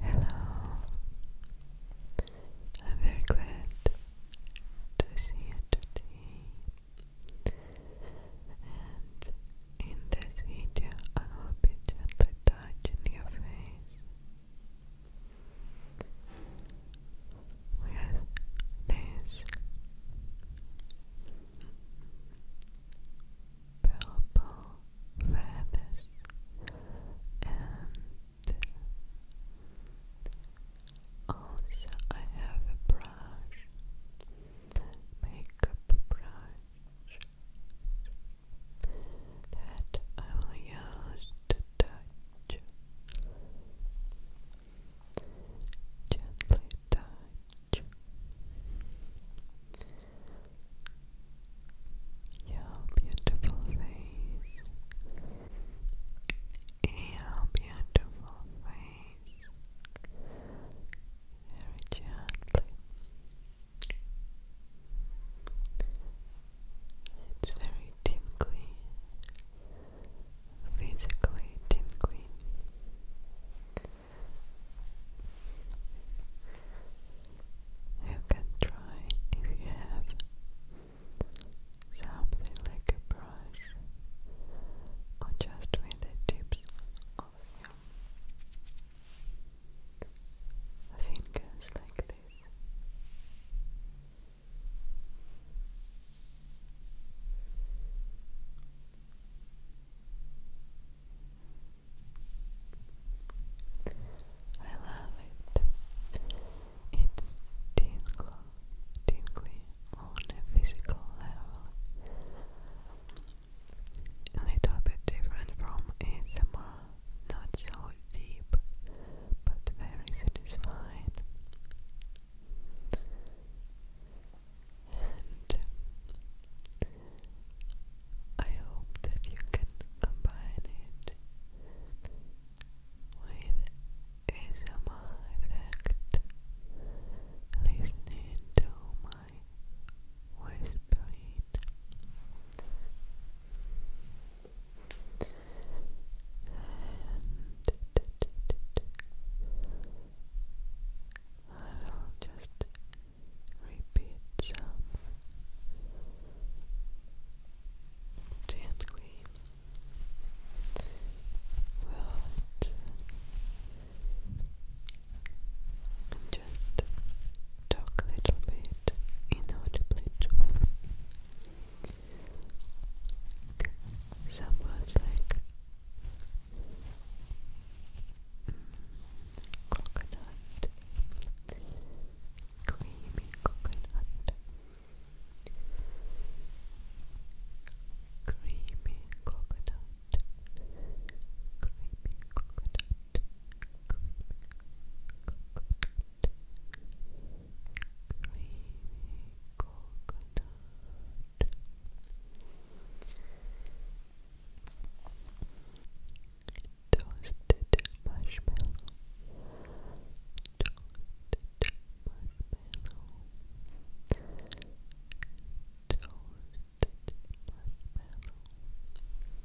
Hello, I'm very glad to see you today. And in this video, I will be gently touching your face with these purple feathers and also I have a brush, makeup brush that I will use touch, gently touch your beautiful face, your beautiful face, very gently. It's very tingly, physically tingly. You can try if you have something like a brush or just with the tips of your fingers like at this. I love it. It's tingle, tingly on a physical level. A bit different from ASMR not so deep, but very satisfying. And I hope that you can combine it with ASMR effect, listening to my whispering. I will just repeat some gently words just talk a little bit inaudibly too. Some like mm, coconut, creamy coconut, creamy coconut, creamy coconut, creamy coconut creamy coconut. Toasted marshmallow, toasted marshmallow, toasted marshmallow,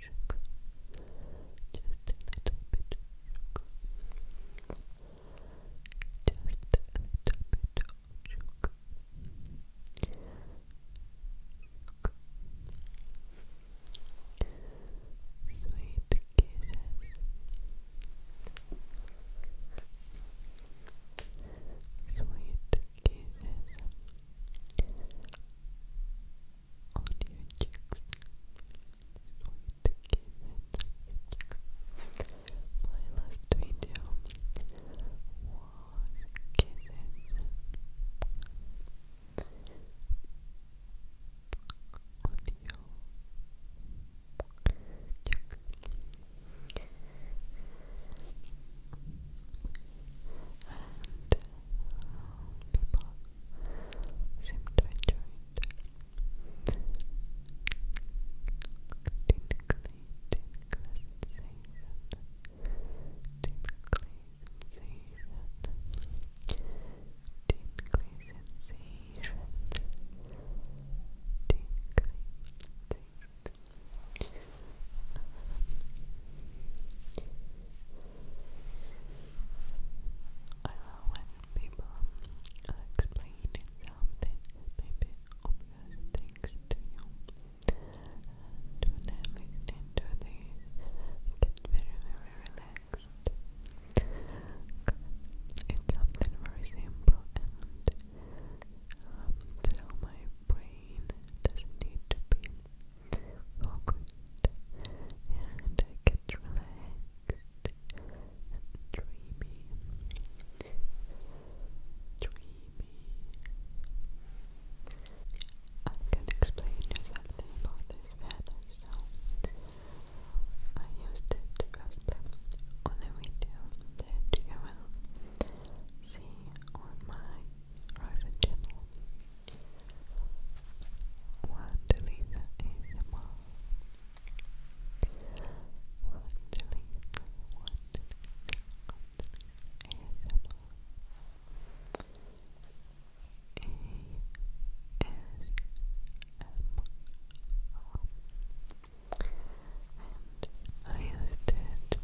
sugar, just a little bit of sugar, just a little bit of sugar. Sweet kisses. Sweet kisses on your cheeks. So you take it on your cheeks. My last video was kisses on your cheeks. And people seem to enjoy it. Tinkly, tinkly sensation. Tinkly sensation. Tinkly sensation. Tinkly I love when people are explaining something, maybe obvious things to you. And to these, I get very, very relaxed. It's something very simple and um, so my brain doesn't need to be focused, and I get relaxed and dreamy, dreamy. I can explain you something about this feather, I used it firstly on a video that you will see on my Russian channel. Wandelisa ASMR Wandelisa, Wandelisa, Wandelisa ASMR ASMR and I used it to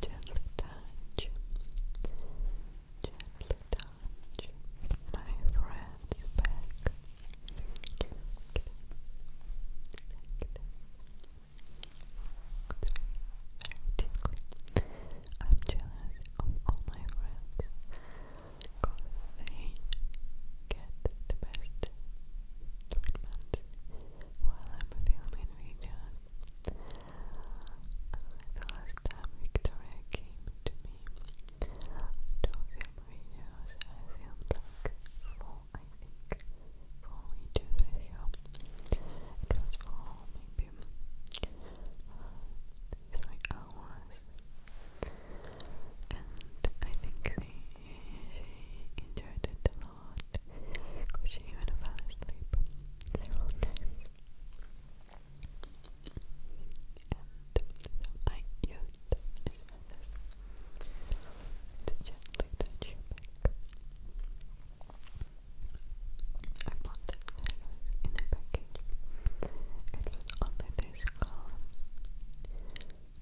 Gently touch, gently touch my friend's back. Very tingly. I'm jealous of all my friends because they get the best treatment while I'm filming videos the last time Victoria came to me to film videos, I filmed like four, I think, four videos with her. It was for maybe three hours, and I think she enjoyed it lot because she even fell asleep several times. And I used this to gently touch your back. I bought that necklace in a package. It was only this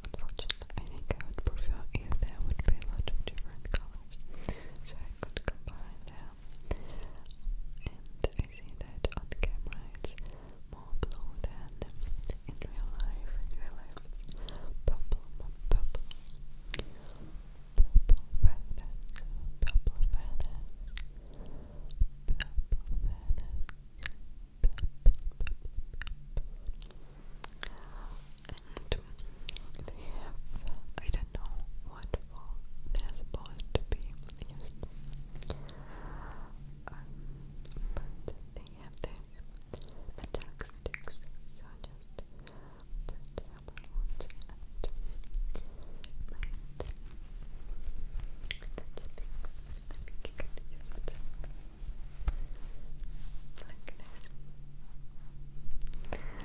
Unfortunately, I think I would prefer if there would be a lot of different colors so I could combine them. And I see that on the camera more blue than in real life. In real life it's purple, purple, purple feathers, purple feathers, purple feathers, purple, and they have, I don't know what for they're supposed to be used um, but they have these metallic sticks so I just, just have a watch and and that's the thing I think you can use it like this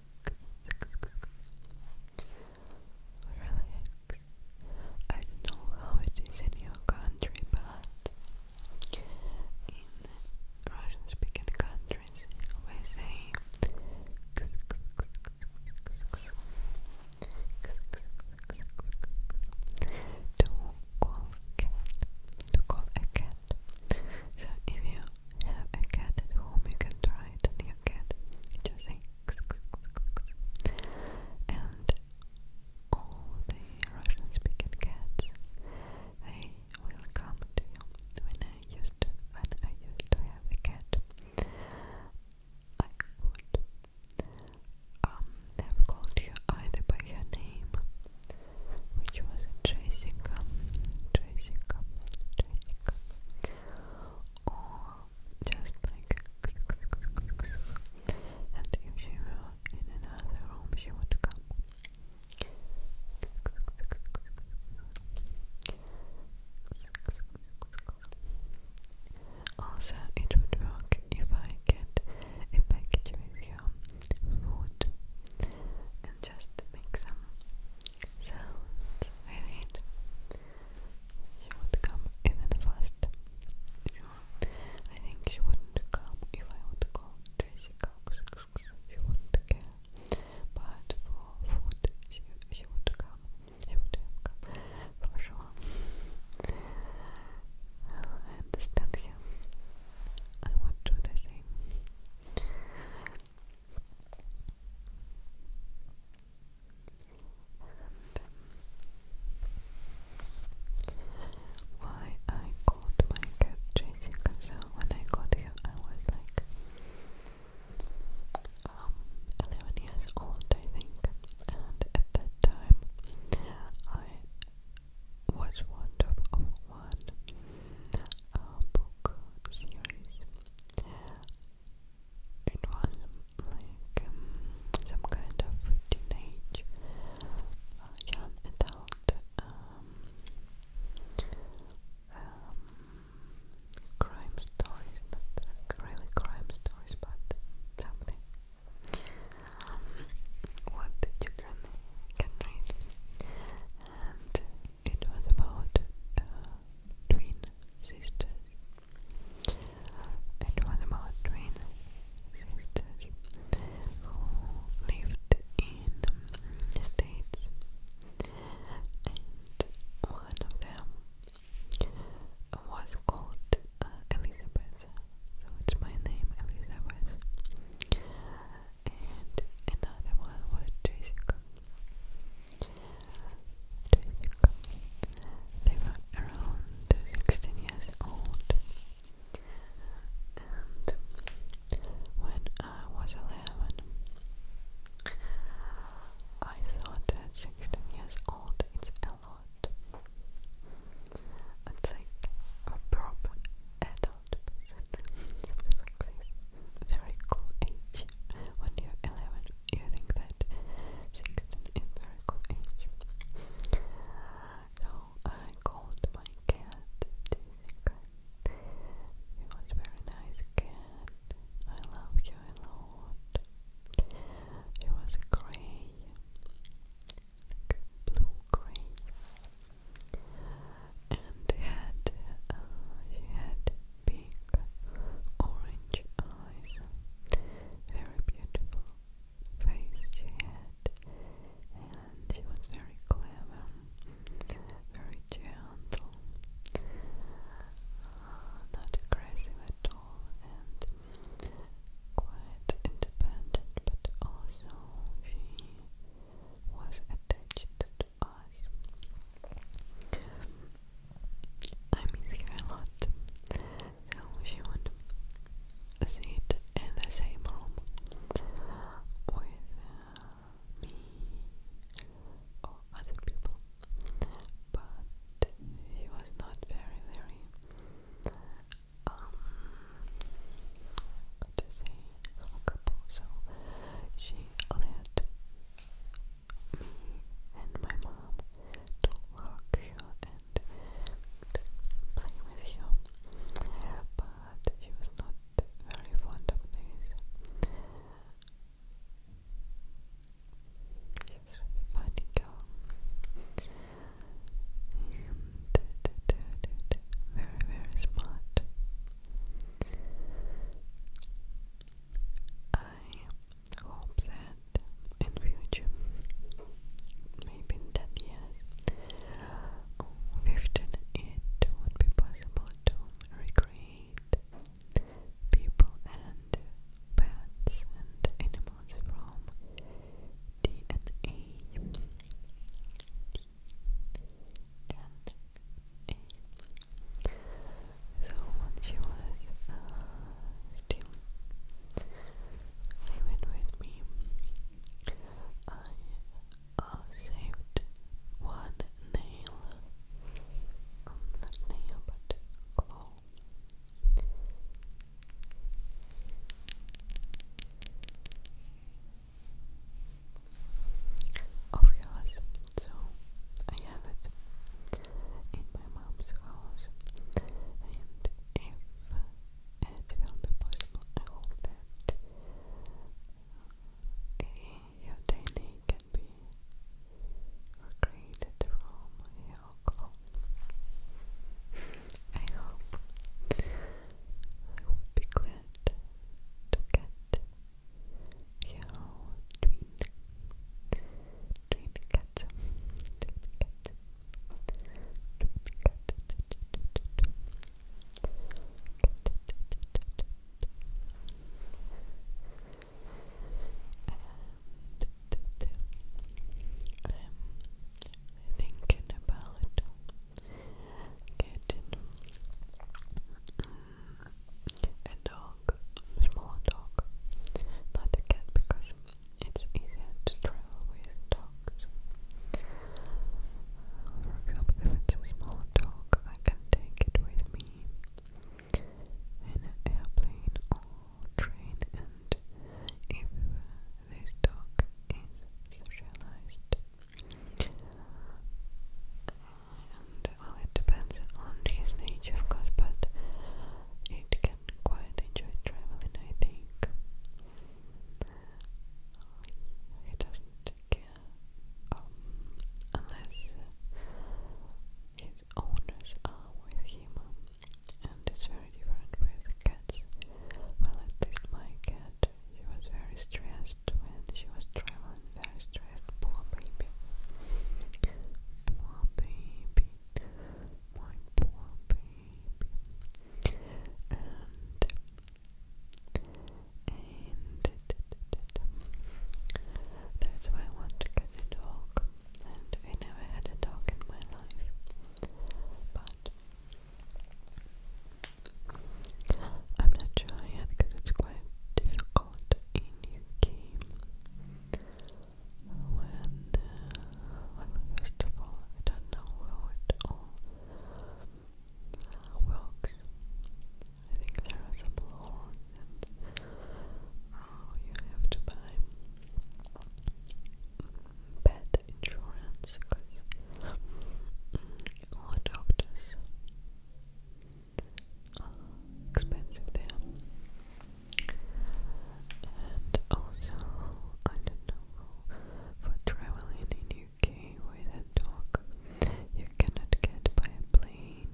Relax. I don't know how it is in your country, but in Russian speaking countries, we say to call To call a So if you have a cat at home, you can try it on your and all the Russian speaking cats they will come to you. When I used when I used to have a cat I could um, have called you either by her name which was Jessica Jessica Jessica or just like and if she were in another room she would come also it would work if I get a package with your food and just make some sounds I think she would come even faster. I think she wouldn't come if I would call She wouldn't care. But for food, she, she would come. She would come for sure. Well, I understand him. I would do the same why I called my cat Jessica. So when I got here, I was like um, 11 years old, I think, and at that time I was fond of one uh, book series. It was like um, some kind of teenage uh, young adult um, um, crime stories, not really crime stories, but something. Um, what the children read, and it was about uh, twin sisters. It was about twin sisters who lived in the States, and one of them was called uh, Elizabeth, so it's my name, Elizabeth and another one was Jessica. Jessica. They were around 16 years old, and when I was 11, I thought that 16 years old is a lot. It's like a proper adult adult very cool age when you're 11 you think that 16 is very cool age so I called my cat Jessica she was very nice cat I love you a lot she was grey blue grey and had uh, she had big orange eyes, very beautiful face she had, and she was very clever, very gentle, uh, not aggressive at all, and quite independent, but also she was attached to us. I miss her a lot, so she would sit in the same room with uh, me or other people, but she was not very, very um, to say couple, so she let me and my mom to hug her and play with her, but she was not very fond of this. She's a funny girl. Uh, very, very smart. I hope that in future, maybe in 10 years 15, it would be possible to recreate people and pets and animals from DNA and A. So when she was still living with me, I saved one nail, not nail but claw of yours. So I have it in my mom's house, and if it will be possible, I that uh, can be recreated from your I hope I would be glad to get jouw twin, twin cat, twin cat, twin cat, and I'm thinking about Cat. Mm, a dog, a smaller dog, not a cat because it's easier to travel with dogs. For example, if it's a small dog, I can take it with me in an airplane or train, and if this dog is socialized, well, it depends on his nature, of course, but it can quite enjoy traveling, I think. He doesn't care um, unless his owners are with him, and it's very different with cats. Well, at my cat she was very stressed when she was traveling, very stressed. Poor baby. Poor baby. My poor baby. And and that's why I want to get a dog. And I never had a dog in my life. But I'm not sure yet because it's quite difficult in UK when, uh, well first of I don't know how it all uh, I think there are some laws and oh, you have to buy pet insurance because all doctors are expensive there. And also, I don't know, for traveling in UK with a dog, you cannot get by plane.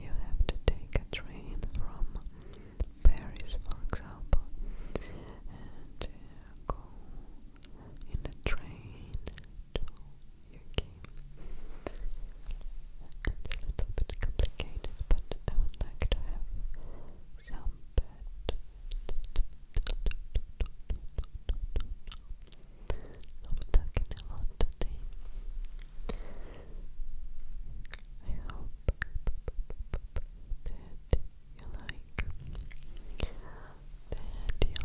You have to take a train from Paris, for example, uh, in the train to UK. It's a little bit complicated, but I would like to have some bed. i talking a lot today. I hope that you like like, that you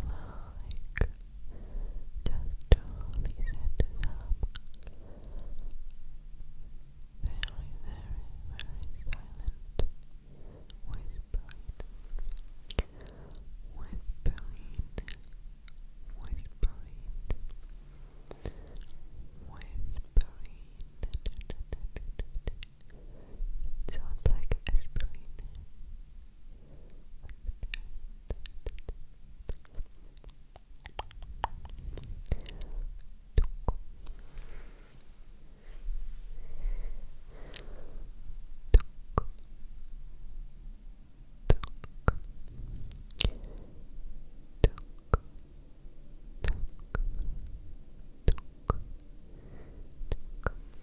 like. Just totally set it up. Very, very, very silent. Whispering. Whispering. Whispering. Whispering. It sounds like aspirin.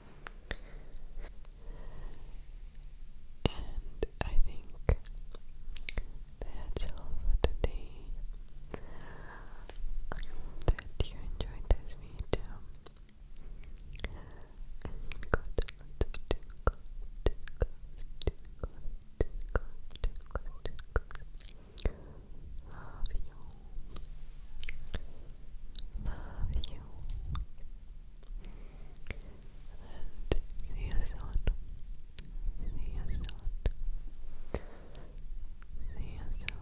And I think that's all for today. that you enjoyed this video. Love you. Love you. And see you soon. See you soon. See you soon.